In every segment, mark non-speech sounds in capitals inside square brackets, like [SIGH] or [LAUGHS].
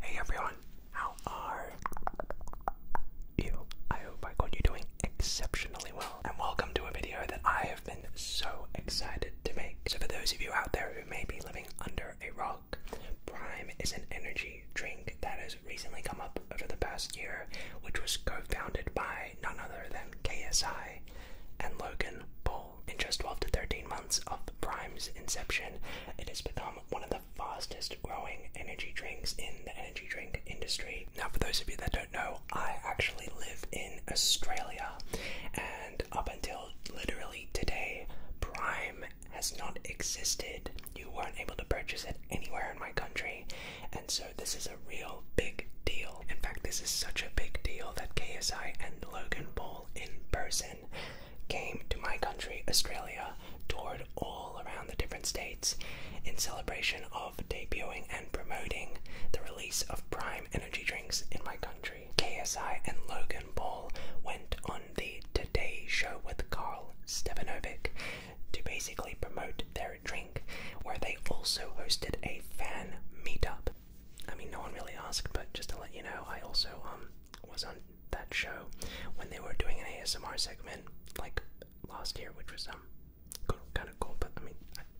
Hey everyone, how are you? I hope I got you doing exceptionally well, and welcome to a video that I have been so excited to make. So, for those of you out there who may be living under a rock, Prime is an energy drink that has recently come up over the past year, which was co founded by none other than KSI and Logan Paul. In just 12 to 13 months of Prime's inception, it has become one of the fastest growing energy drinks in the energy drink industry. Now, for those of you that don't know, I actually live in Australia, and up until literally today, Prime has not existed. You weren't able to purchase it anywhere in my country, and so this is a real big deal. In fact, this is such a big deal that KSI and Logan Paul in person came to my country, Australia, toured all around the different states in celebration of debuting and promoting the release of Prime Energy drinks in my country. KSI and Logan Paul went on the Today Show with Carl Stevanovic to basically promote their drink, where they also hosted a fan meetup. I mean, no one really asked, but just to let you know, I also um was on that show when they were doing an ASMR segment like last year, which was um kind of cool. But I mean,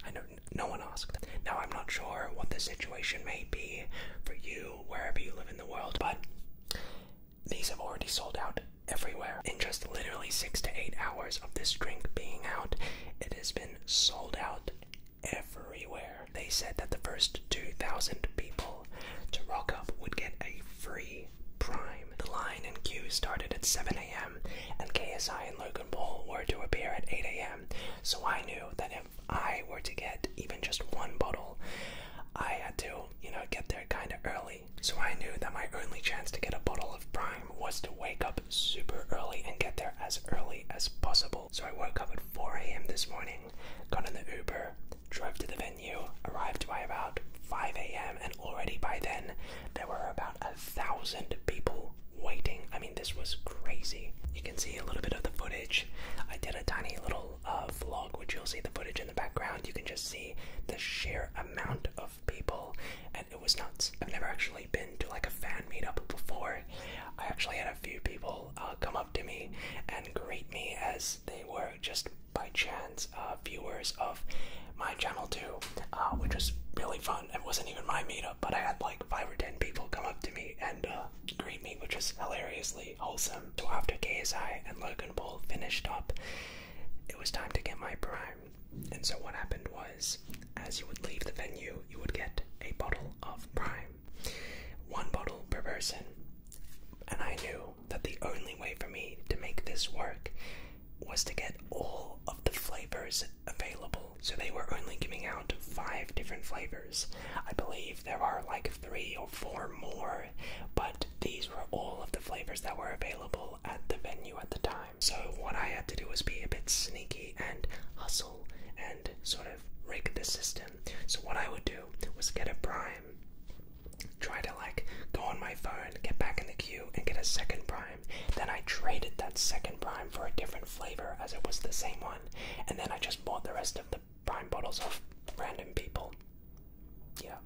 I know no one asked. Now I'm not sure what the situation may be for you wherever you live in the world, but these have already sold out everywhere. In just literally six to eight hours of this drink being out, it has been sold out everywhere. They said that the first 2,000 people to rock up would get a free prime. The line and queue started at 7 a.m., and KSI and Logan Paul were to appear at 8 a.m., so I knew that if I were to get even just one bottle, I had to, you know, get there kind of early. So I knew that my only chance to get a bottle of Prime was to wake up super early and get there as early as possible. So I woke up at 4 a.m. this morning, got in the Uber, drove to the venue, arrived by about 5 a.m., and already by then there were about a thousand people waiting. I mean, this was crazy. You can see a little bit of the footage. I did a tiny little uh, vlog, which you'll see the footage in the background, you can just see the sheer amount of people, and it was nuts. I've never actually been to like a fan meetup before. I actually had a few people uh, come up to me and greet me as they were just by chance uh, viewers of my channel too, uh, which was really fun. It wasn't even my meetup, but I had like five or ten people come up to me and greet me, which was hilariously wholesome. So um, after KSI and Logan Paul finished up, it was time to get my prime. And so what happened was, as you would leave the venue, you would get a bottle of prime. One bottle per person. And I knew that the only way for me to make this work was to get all of the flavors available. So they were only giving out five different flavors. I believe there are like three or four more, but these were all of the flavors that were available at the venue at the time. So what I had to do was be a bit sneaky and hustle and sort of rig the system. So what I would do was get a prime, try to like go on my phone, get back in the queue and get a second prime. Then I traded that second prime for a different flavor as it was the same one. And then I just bought the rest of the prime bottles off random people. Yeah.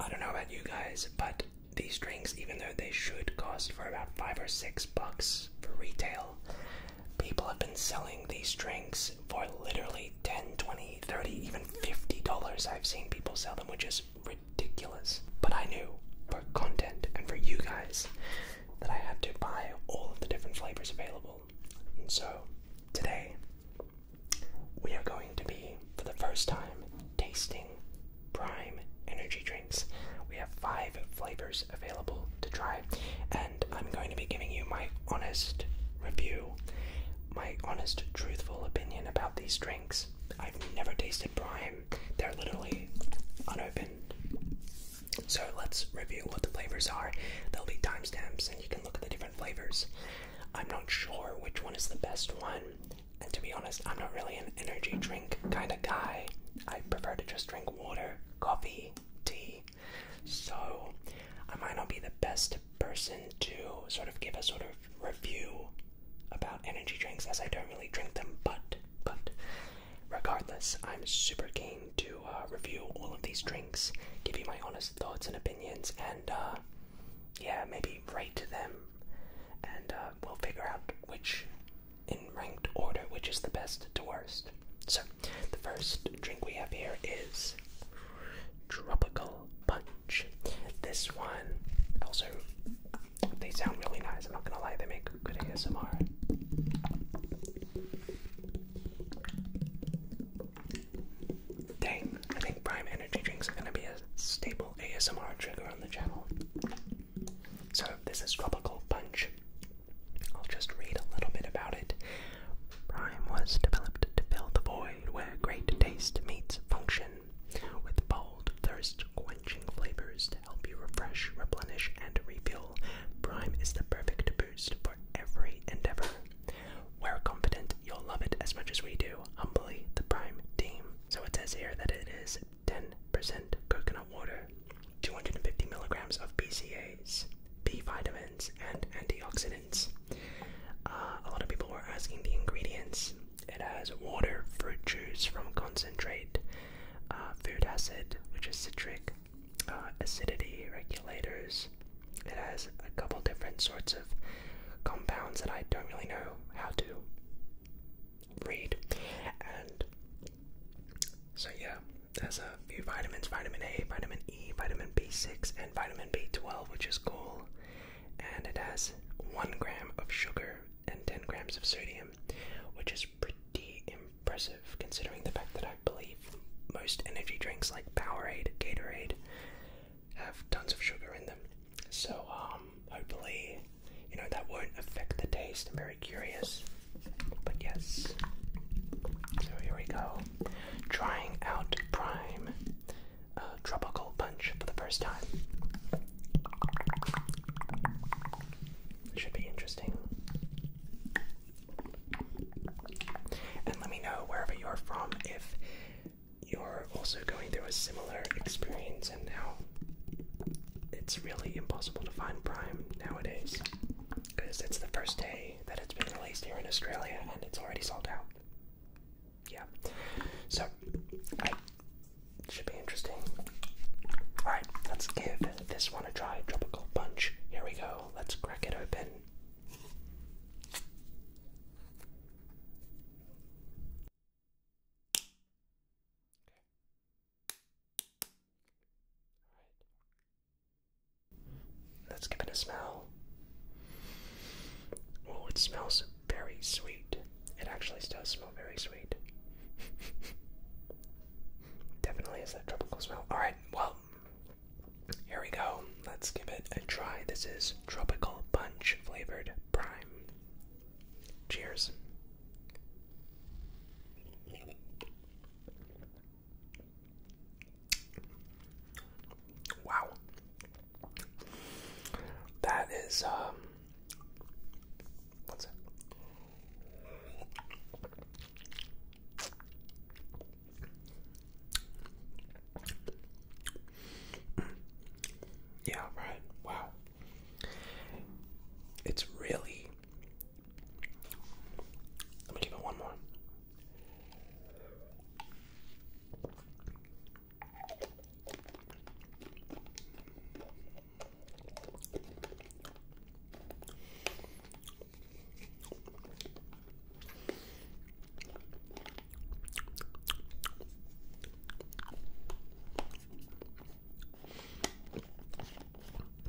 I don't know about you guys, but these drinks, even though they should cost for about five or six bucks for retail, people have been selling these drinks for literally ten, twenty, thirty, even 50 dollars. I've seen people sell them, which is ridiculous. But I knew for content and for you guys that I had to buy all of the different flavors available. And so today we are going to be, for the first time, tasting prime energy drinks. We have five flavors available to try, and I'm going to be giving you my honest review, my honest, truthful opinion about these drinks. I've never tasted prime, they're literally unopened. So let's review what the flavors are. There'll be timestamps, and you can look at the different flavors. I'm not sure which one is the best one. And to be honest, I'm not really an energy drink kind of guy. I prefer to just drink water, coffee, tea. So I might not be the best person to sort of give a sort of review about energy drinks as I don't really drink them, but but regardless, I'm super keen to uh, review all of these drinks, give you my honest thoughts and opinions, and uh, yeah, maybe write to them, and uh, we'll figure out which, in ranked order, which is the best to worst. So, the first drink we have here is Tropical Punch. This one, also, they sound really nice, I'm not gonna lie, they make good ASMR. Dang, I think Prime Energy Drinks are gonna be a stable ASMR trigger on the channel. So, this is Tropical Punch. I'll just read a little bit about it. Prime was developed to fill the void where great taste meets function, with bold, thirst quenching flavors to help you refresh, replenish, and refuel. Prime is the perfect boost for every endeavor. We're confident you'll love it as much as we do. Humbly, the Prime Team. So it says here that it is 10% coconut water, 250 milligrams of BCAAs, B vitamins, and antioxidants. Uh, a lot of people were asking the ingredients. It has water, fruit juice from concentrate, uh, food acid, which is citric, uh, acidity regulators, it has a couple different sorts of compounds that I don't really know how to read. And so, yeah, there's a few vitamins vitamin A, vitamin E, vitamin B6, and vitamin B12, which is cool. And it has one gram of sugar and 10 grams of sodium, which is pretty impressive considering the fact that I believe most energy drinks like Powerade, Gatorade, have tons of sugar in them. So um, hopefully, you know that won't affect the taste. I'm very curious, but yes. So here we go, trying out Prime uh, Tropical Punch for the first time. Should be interesting. And let me know wherever you're from if you're also going through a similar experience, and now it's really impossible to find Prime nowadays because it's the first day that it's been released here in Australia and it's already sold out. Yeah, so I should be interesting. Alright, let's give this one a try. Tropical Punch. Here we go. Let's crack it open. Okay. Alright. Let's give it a smell. Oh, it smells very sweet. It actually does smell very sweet. [LAUGHS] Definitely is that tropical smell. Alright, well, here we go. Um, let's give it a try. This is Tropical Punch flavored prime. Cheers. Wow. That is, um, yeah, right. Wow. It's really. Let me give it one more.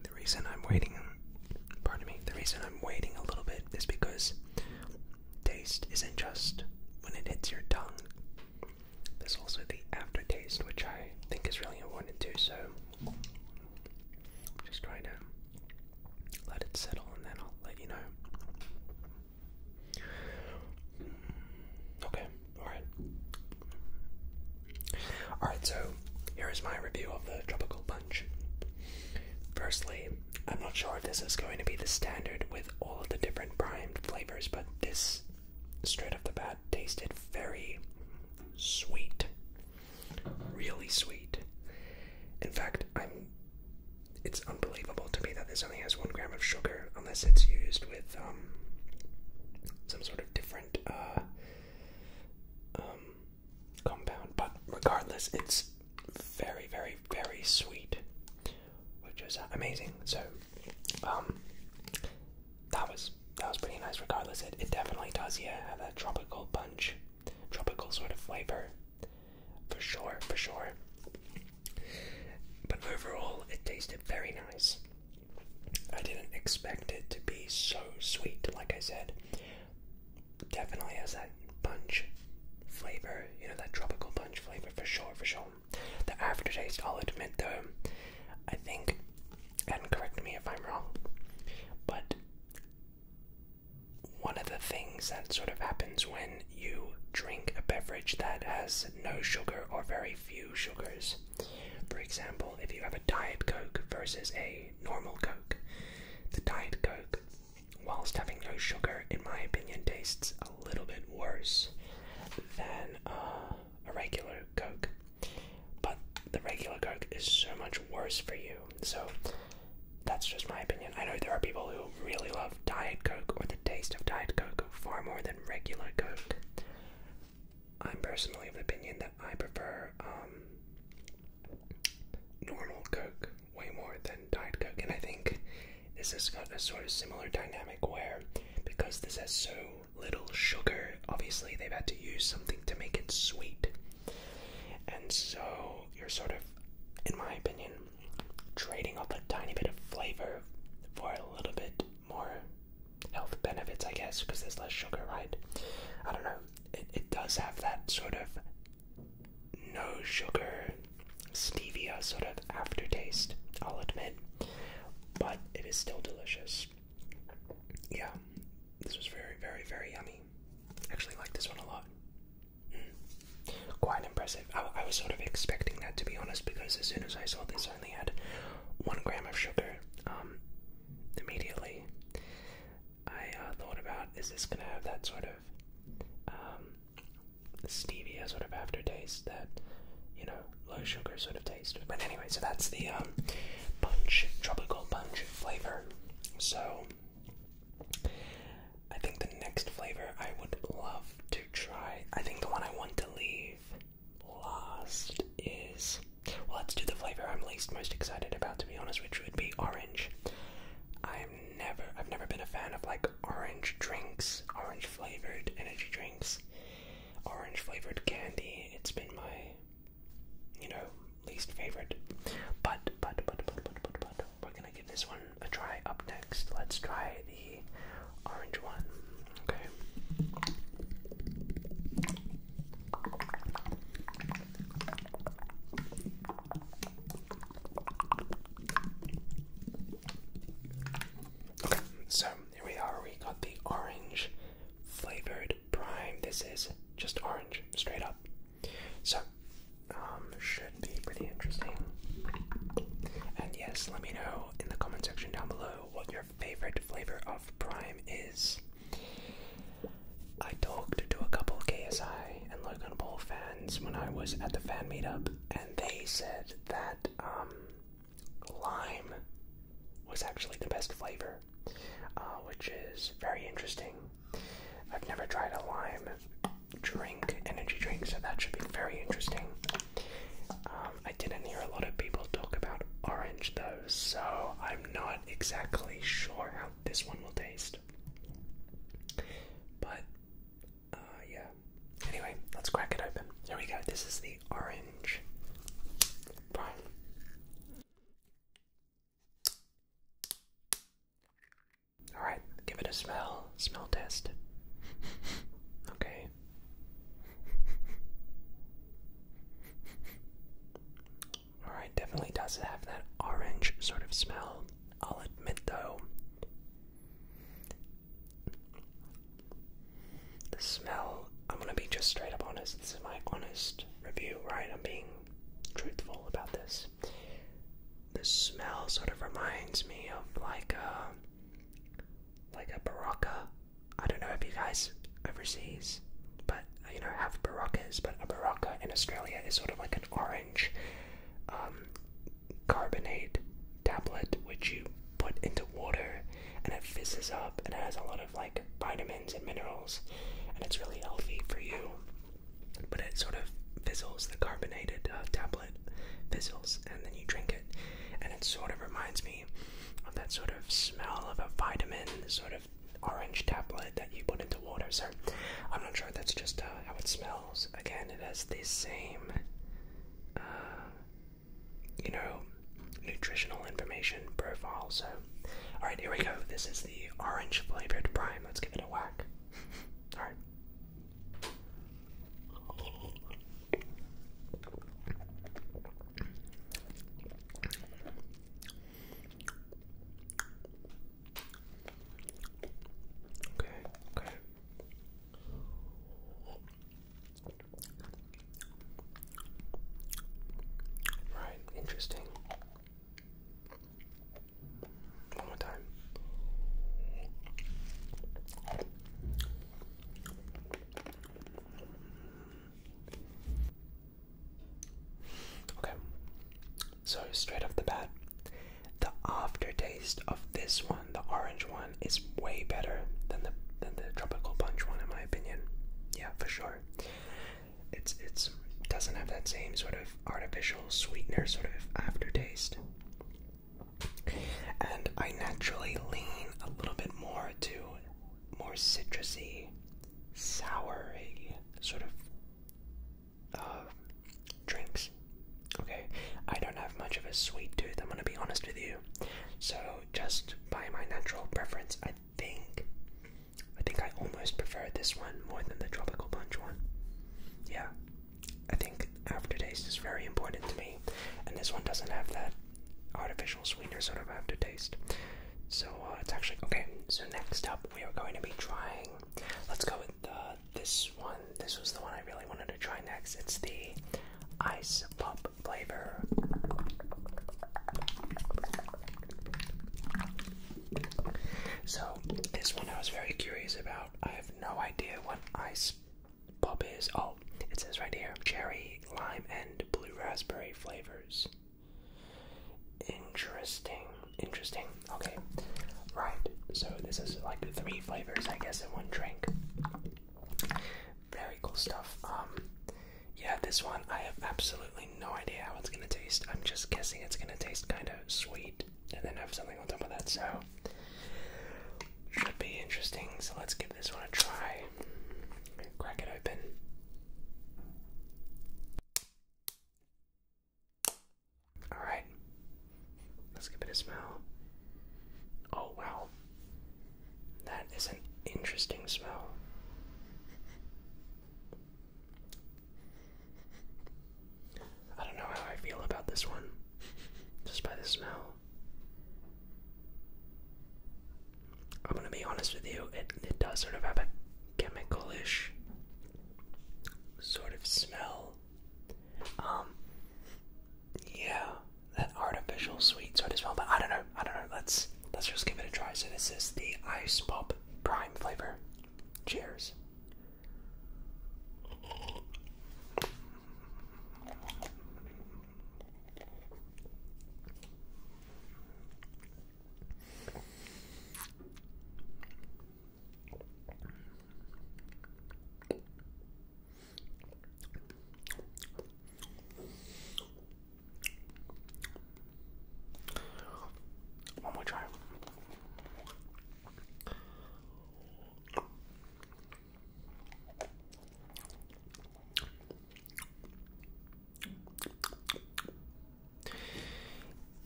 The reason I'm waiting, pardon me, the reason I'm waiting a little bit is because taste isn't just when it hits your tongue. There's also the aftertaste, which I think is really important too, so I'm just trying to let it settle and then I'll let you know. Okay, alright. Alright, so here is my review of the Tropical Punch. Firstly, I'm not sure if this is going to be the standard with all of the different primed flavors, but this straight off the bat tasted very sweet. Really sweet. In fact, I'm it's unbelievable to me that this only has one gram of sugar unless it's used with um, some sort of different uh, um, compound. But regardless, it's very, very, very sweet, which is amazing. So um, that was that was pretty nice. Regardless, it it definitely does yeah have that tropical punch, tropical sort of flavor for sure, for sure. But overall, it tasted very nice. I didn't expect it to be so sweet, like I said. Definitely has that punch flavor, you know, that tropical punch flavor for sure, for sure. The aftertaste, I'll admit though, I think, and correct me if I'm wrong, but one of the things that sort of happens when you drink a beverage that has no sugar or very few sugars. For example, if you have a Diet Coke versus a normal Coke, the Diet Coke, whilst having no sugar, in my opinion, tastes a little bit worse than uh, a regular Coke. But the regular Coke is so much worse for you. So that's just my opinion. I know there are people who people really love Diet Coke or the taste of Diet Coke far more than regular Coke. I'm personally of the opinion that I prefer um, normal Coke way more than Diet Coke, and I think this has got a sort of similar dynamic where because this has so little sugar, obviously they've had to use something to make it sweet. And so you're sort of, in my opinion, trading off a tiny bit of flavor for a little bit more health benefits, I guess, because there's less sugar, right? I don't know. It, does have that sort of no sugar stevia sort of aftertaste, I'll admit, but it is still delicious. Yeah, this was very, very, very yummy. Actually, like this one a lot. Quite impressive. I, was sort of expecting that to be honest, because as soon as I saw this, I only had one gram of sugar. Um, immediately, I uh, thought about is this gonna have that sort of um, stevia sort of aftertaste that you know low sugar sort of taste. But anyway, so that's the um, punch tropical punch flavor. So I think the next flavor I would love to try, I think the one I want to leave last is. Well, let's do the flavor I'm least most excited about, to be honest, which would be orange. I'm never, I've never been a fan of like orange drinks, orange flavored energy drinks, orange flavored candy. It's been my, you know, least favorite. But, but, but, but, but, but, but, we're gonna gonna give this one a try up next. Let's try the orange one. Okay. Okay, so here we are. We got the orange flavored prime. This is just orange, straight up. So, um, should be pretty interesting. And yes, let me know in the comment section down below what your favorite flavor of Prime is. I talked to a couple KSI and Logan Paul fans when I was at the fan meetup, and they said that um, lime was actually the best flavor, uh, which is very interesting. I've never tried a lime drink, energy drink, so that should be very interesting. Um, I didn't hear a lot of people talk about orange though, so I'm not exactly sure how this one will taste. But, uh, yeah. Anyway, let's crack it open. Here we go. This is the orange. Prime. Alright, give it a smell. Smell test. okay. Alright, definitely does have that orange sort of smell. I'll admit though, the smell, I'm gonna be just straight up honest. This is my honest review, right? I'm being truthful about this. The smell sort of reminds me of like a uh, like a baraka. I don't know if you guys overseas, but you know, have barakas, but a baraka in Australia is sort of like an orange um, carbonate tablet which you put into water and it fizzes up and it has a lot of like vitamins and minerals and it's really healthy for you, but it sort of fizzles the carbonated uh, tablet fizzles and then you drink it. And it sort of reminds me of that sort of smell of a vitamin, sort of orange tablet that you put into water. So I'm not sure that's just uh, how it smells. Again, it has the same, uh, you know, nutritional information profile. So, alright, here we go. This is the orange flavored prime. Let's give it a whack. [LAUGHS] alright. Okay, okay. Right, interesting. One more time. Okay, so straight off the bat, the aftertaste of this one, the orange one, is way better than the than the tropical punch one, in my opinion. Yeah, for sure. It's it's doesn't have that same sort of artificial sweetener sort of aftertaste. And I naturally lean a little bit more to more citrusy, soury sort of uh, drinks. Okay, I don't have much of a sweet tooth, I'm gonna be honest with you. So, just by my natural preference, I think I think I almost prefer this one more than the tropical punch one. Yeah, I think aftertaste is very important to me, and this one doesn't have that artificial sweetener sort of aftertaste. So uh, it's actually okay. So next up, we are going to be trying. Let's go with uh, this one. This was the one I really wanted to try next. It's the ice pop flavor. So this one I was very curious about. I have no idea what ice pop is oh it says right here cherry lime and blue raspberry flavors interesting interesting okay right so this is like three flavors i guess in one drink very cool stuff um yeah this one i have absolutely no idea how it's gonna taste i'm just guessing it's gonna taste kind of sweet and then have something on top of that so should be interesting, so let's give this one a try. Crack it open. Alright, let's give it a smell. Oh wow, that is an interesting smell. I don't know how I feel about this one, just by the smell. I'm gonna be honest with you, it, it does sort of have a chemicalish sort of smell. Um, yeah, that artificial sweet sort of smell, but I don't know, I don't know, let's, let's just give it a try. So this is the Ice Pop Prime flavor. Cheers. One more try.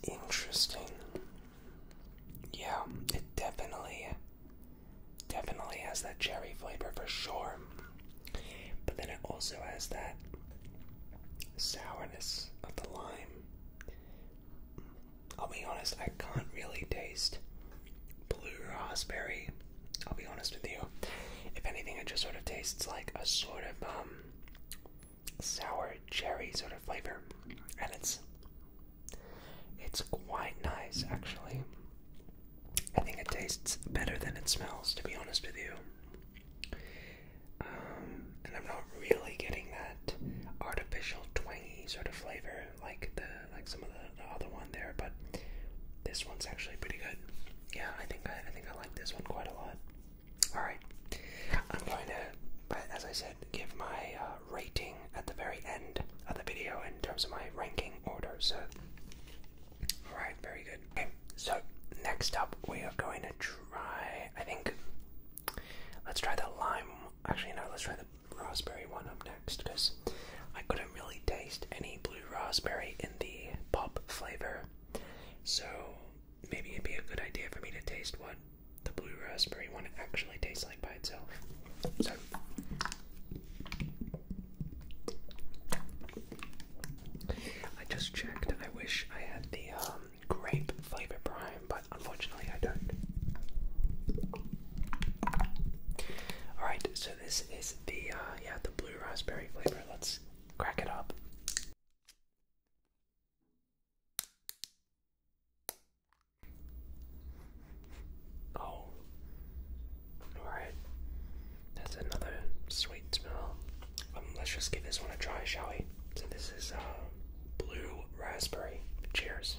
Interesting. Yeah, it definitely definitely has that cherry flavor for sure. But then it also has that sourness of the lime. I'll be honest, I can't really taste blue raspberry. I'll be honest with you. If anything, it just sort of tastes like a sort of um, sour cherry sort of flavor, and it's it's quite nice actually. I think it tastes better than it smells, to be honest with you. Um, and I'm not really getting that artificial twangy sort of flavor like the like some of the, other one there, but this one's actually pretty good. Yeah, I think I, think I like this one quite a lot. All right, I'm going to, as I said, give my uh, rating at the very end of the video in terms of my ranking order. So, all right, very good. Okay, so next up we are going to try. I think let's try the lime. Actually, no, let's try the raspberry one up next because I couldn't really taste any blue raspberry in the pop flavor. So maybe it'd be a good idea for me to taste what the blue raspberry one actually tastes like by itself. So I just checked. I wish I had the um, grape flavor prime, but unfortunately I don't. Alright, so so this is the uh, yeah the blue raspberry flavor. Let's crack it up. Oh, all right. That's another sweet smell. Um, let's just give this one a try, shall we? So this is uh, blue raspberry. Cheers.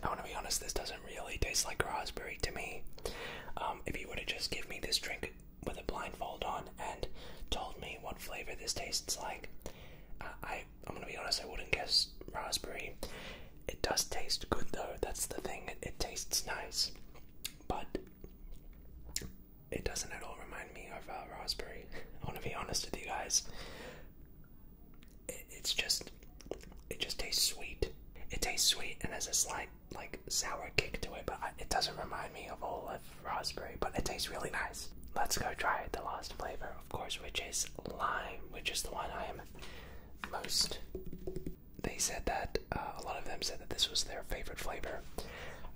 I want to be honest, this doesn't really tastes like raspberry to me. Um, if you would have just given me this drink with a blindfold on and told me what flavor this tastes like, I, I am gonna be honest, I wouldn't guess raspberry. It does taste good though. That's the thing. It, tastes nice, but it doesn't at all remind me of uh, raspberry. [LAUGHS] I want to be honest with you guys. it's just, it just tastes sweet. It tastes sweet and has a slight like sour kick to it, but it doesn't remind me of olive raspberry, but it tastes really nice. Let's go try the last flavor, of course, which is lime, which is the one I am most. They said that uh, a lot of them said that this was their favorite flavor.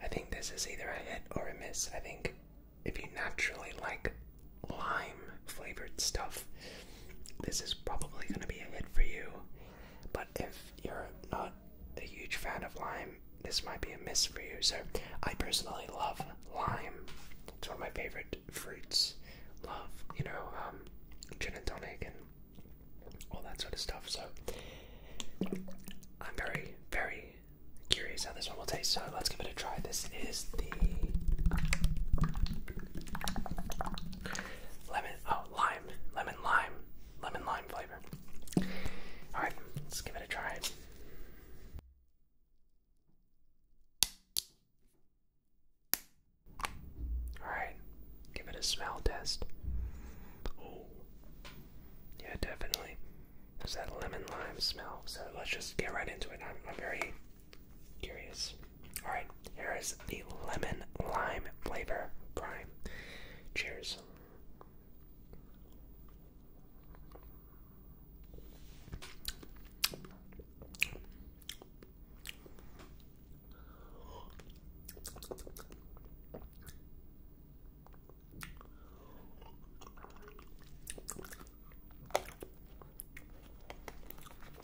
I think this is either a hit or a miss. I think if you naturally like lime flavored stuff, this is probably going to be a hit for you. But if you're not a huge fan of lime, this might be a miss for you. So, I personally love lime. It's one of my favorite fruits. Love, you know, um, gin and tonic and all that sort of stuff. So, I'm very, very curious how this one will taste. So, let's give it a try. This is the lemon, oh, lime, lemon lime lemon lime flavor. Alright, let's give it a try. Alright, give it a smell test. Oh, yeah, definitely. There's that lemon lime smell. So let's just get right into it. I'm, I'm very curious. Alright, here is the lemon lime flavor prime. Cheers.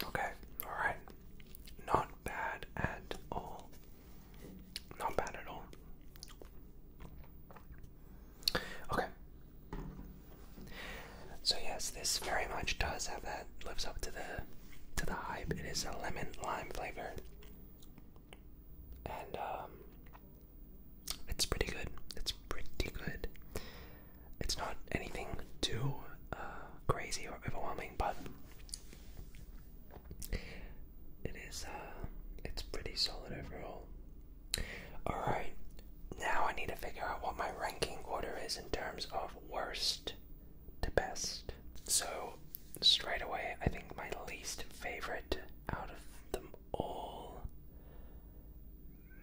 Okay, all right. Not bad at all. Not bad at all. Okay. So yes, this very much does have that lives up to the to the hype. It is a lemon lime flavor. And um, it's pretty good. It's pretty good. It's not anything too uh, crazy or overwhelming, but it is, uh, it's pretty solid overall. Alright, now I need to figure out what my ranking order is in terms of worst to best. So, straight away, I think my least favorite out of them all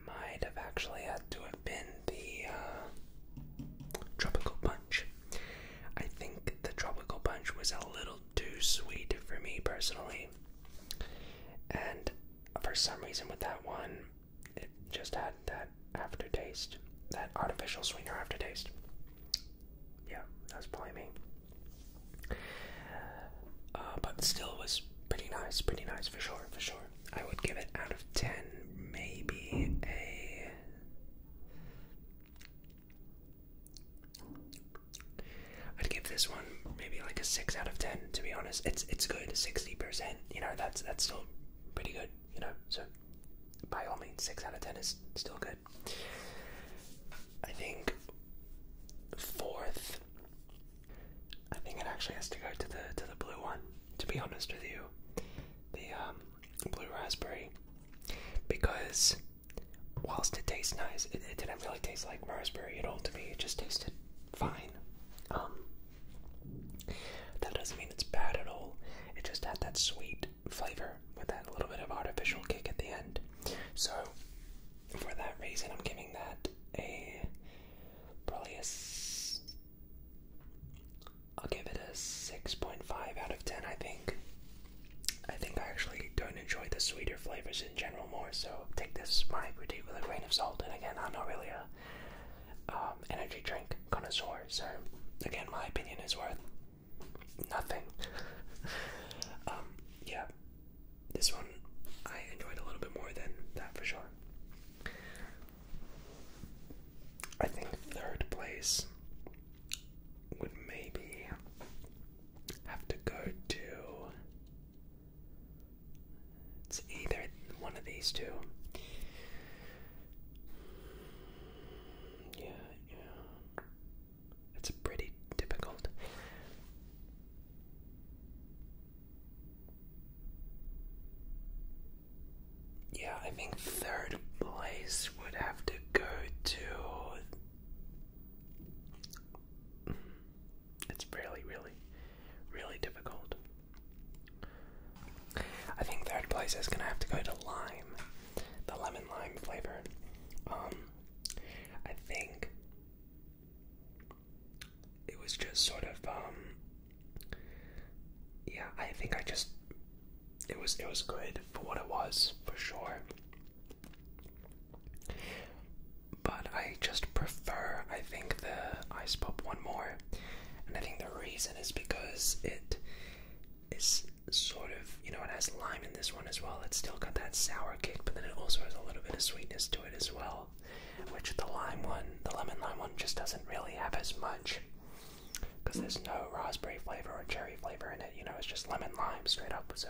might have actually had to have been the uh, Tropical Punch. I think the tropical punch was a little too sweet for me personally. And for some reason, with that one, it just had that aftertaste, that artificial sweetener aftertaste. Yeah, that's probably me. Uh, but still, was pretty nice, pretty nice for sure, for sure. I would give it out of 10, maybe a I'd give this one maybe like a six out of ten. To be honest, it's it's good, sixty percent. You know, that's that's still pretty good. You know, so by all means, six out of ten is still good. I think fourth. I think it actually has to go to the to the blue one. To be honest with you, the um blue raspberry because whilst it tastes nice, it, didn't really taste like raspberry at all to me. It just tasted fine. Um, that doesn't mean it's bad at all. It just had that sweet flavor with that little bit of artificial kick at the end. So for that reason, I'm giving that a probably a I'll give it a 6.5 out of 10, I think. I think I actually don't enjoy the sweeter flavors in general more, so take this my critique with a grain of salt. And again, I'm not really a um, energy drink connoisseur, so again, my opinion is worth nothing. [LAUGHS] um, yeah, this one I enjoyed a little bit more than that for sure. I think third place would maybe have to go to. It's either one of these two. Yeah, yeah. It's pretty difficult. Yeah, I think third place would have to go to. It's really, really, really difficult. I think third place is going to have to go to lime, the lemon lime flavor. Um, I think it was just sort of, um, yeah, I think I just it was it was good for what it was for sure. But I just prefer I think the ice pop one more. And I think the reason is because it is sort of you know it has lime in this one as well. It's still got that sour kick, but then it also has a little bit of sweetness to it as well. Which the lime one, the lemon lime one just doesn't really have as much because there's no raspberry flavor or cherry flavor in it. You know, it's just lemon lime straight up. So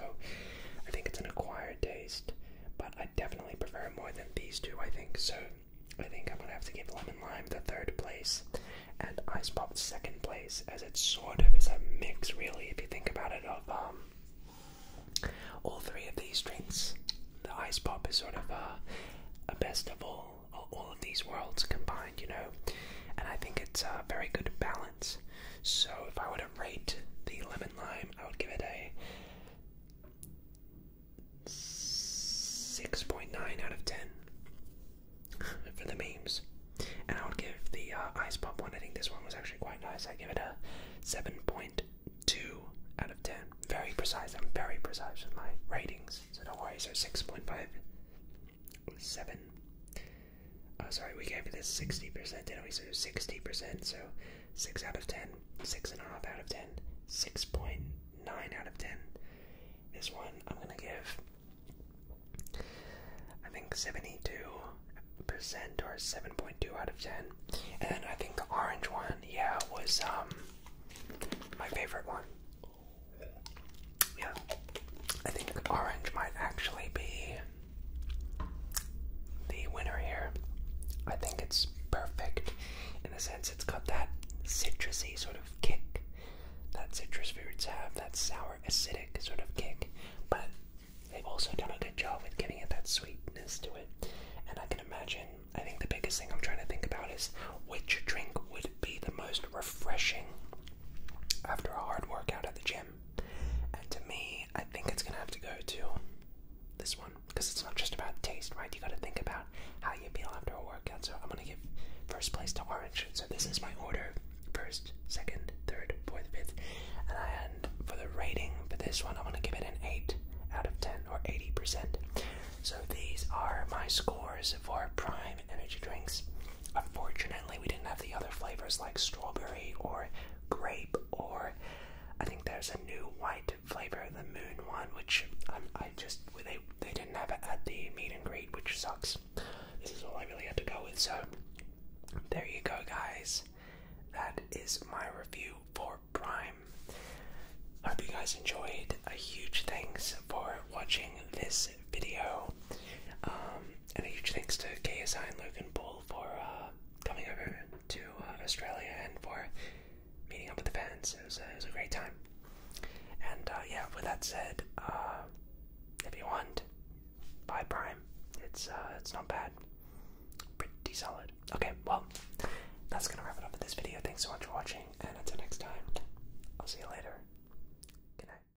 I think it's an acquired taste, but I definitely prefer more than these two. I think so. I think I'm gonna have to give lemon lime the third place, and ice pop second place, as it sort of is a mix, really, if you think about it, of um, all three of these drinks. The ice pop is sort of a, uh, a best of all, all of these worlds combined you know? And I think it's a very good balance. So if I were to rate the lemon lime, I would give it a 6.9 out of 10 for the memes. And I would give the uh, ice pop one, I think this one was actually quite nice. I give it a 7.2 out of 10. Very precise, I'm very precise with my ratings, so don't worry. 6.5 seven. Oh, sorry, we gave this 60%, didn't we? So 60%, so 6 out of 10, 6.5 out of 10, 6.9 out of 10. This one I'm going to give, I think, 72% or 7.2 out of 10. And I think the orange one, yeah, was um my favorite one. Yeah, I think orange might actually be the winner here. I think it's perfect in a sense it's got that citrusy sort of kick that citrus fruits have, that sour, acidic sort of kick, but they've also done a good job with giving it that sweetness to it. And I can imagine, I think the biggest thing I'm trying to think about is which drink would be the most refreshing after a hard workout at the gym. And to me, I think it's gonna have to go to this one because it's not just about taste, right? You gotta think about how you feel after a workout. So I'm gonna give first place to orange. So this is my order first, second, third, fourth, fifth. And for the rating for this one, i want to give it an 8 out of 10 or 80%. So these are my scores for prime energy drinks. Unfortunately, we didn't have the other flavors like strawberry or grape, or I think there's a new white flavor, the moon one, which um, I just they they didn't have it at the meet and greet, which sucks. This is all I really had to go with. So there you go, guys. That is my review for Prime. hope you guys enjoyed. A huge thanks for watching this video. Um, and a huge thanks to KSI and Luke and Bull for uh, coming over to uh, Australia and for meeting up with the fans. It was, a great time. And uh, yeah, with that said, if you want, buy Prime. It's it's not bad. Pretty solid. Okay, well, that's gonna wrap it up for this video. Thanks so much for watching, and until next time, I'll see you later. Good night.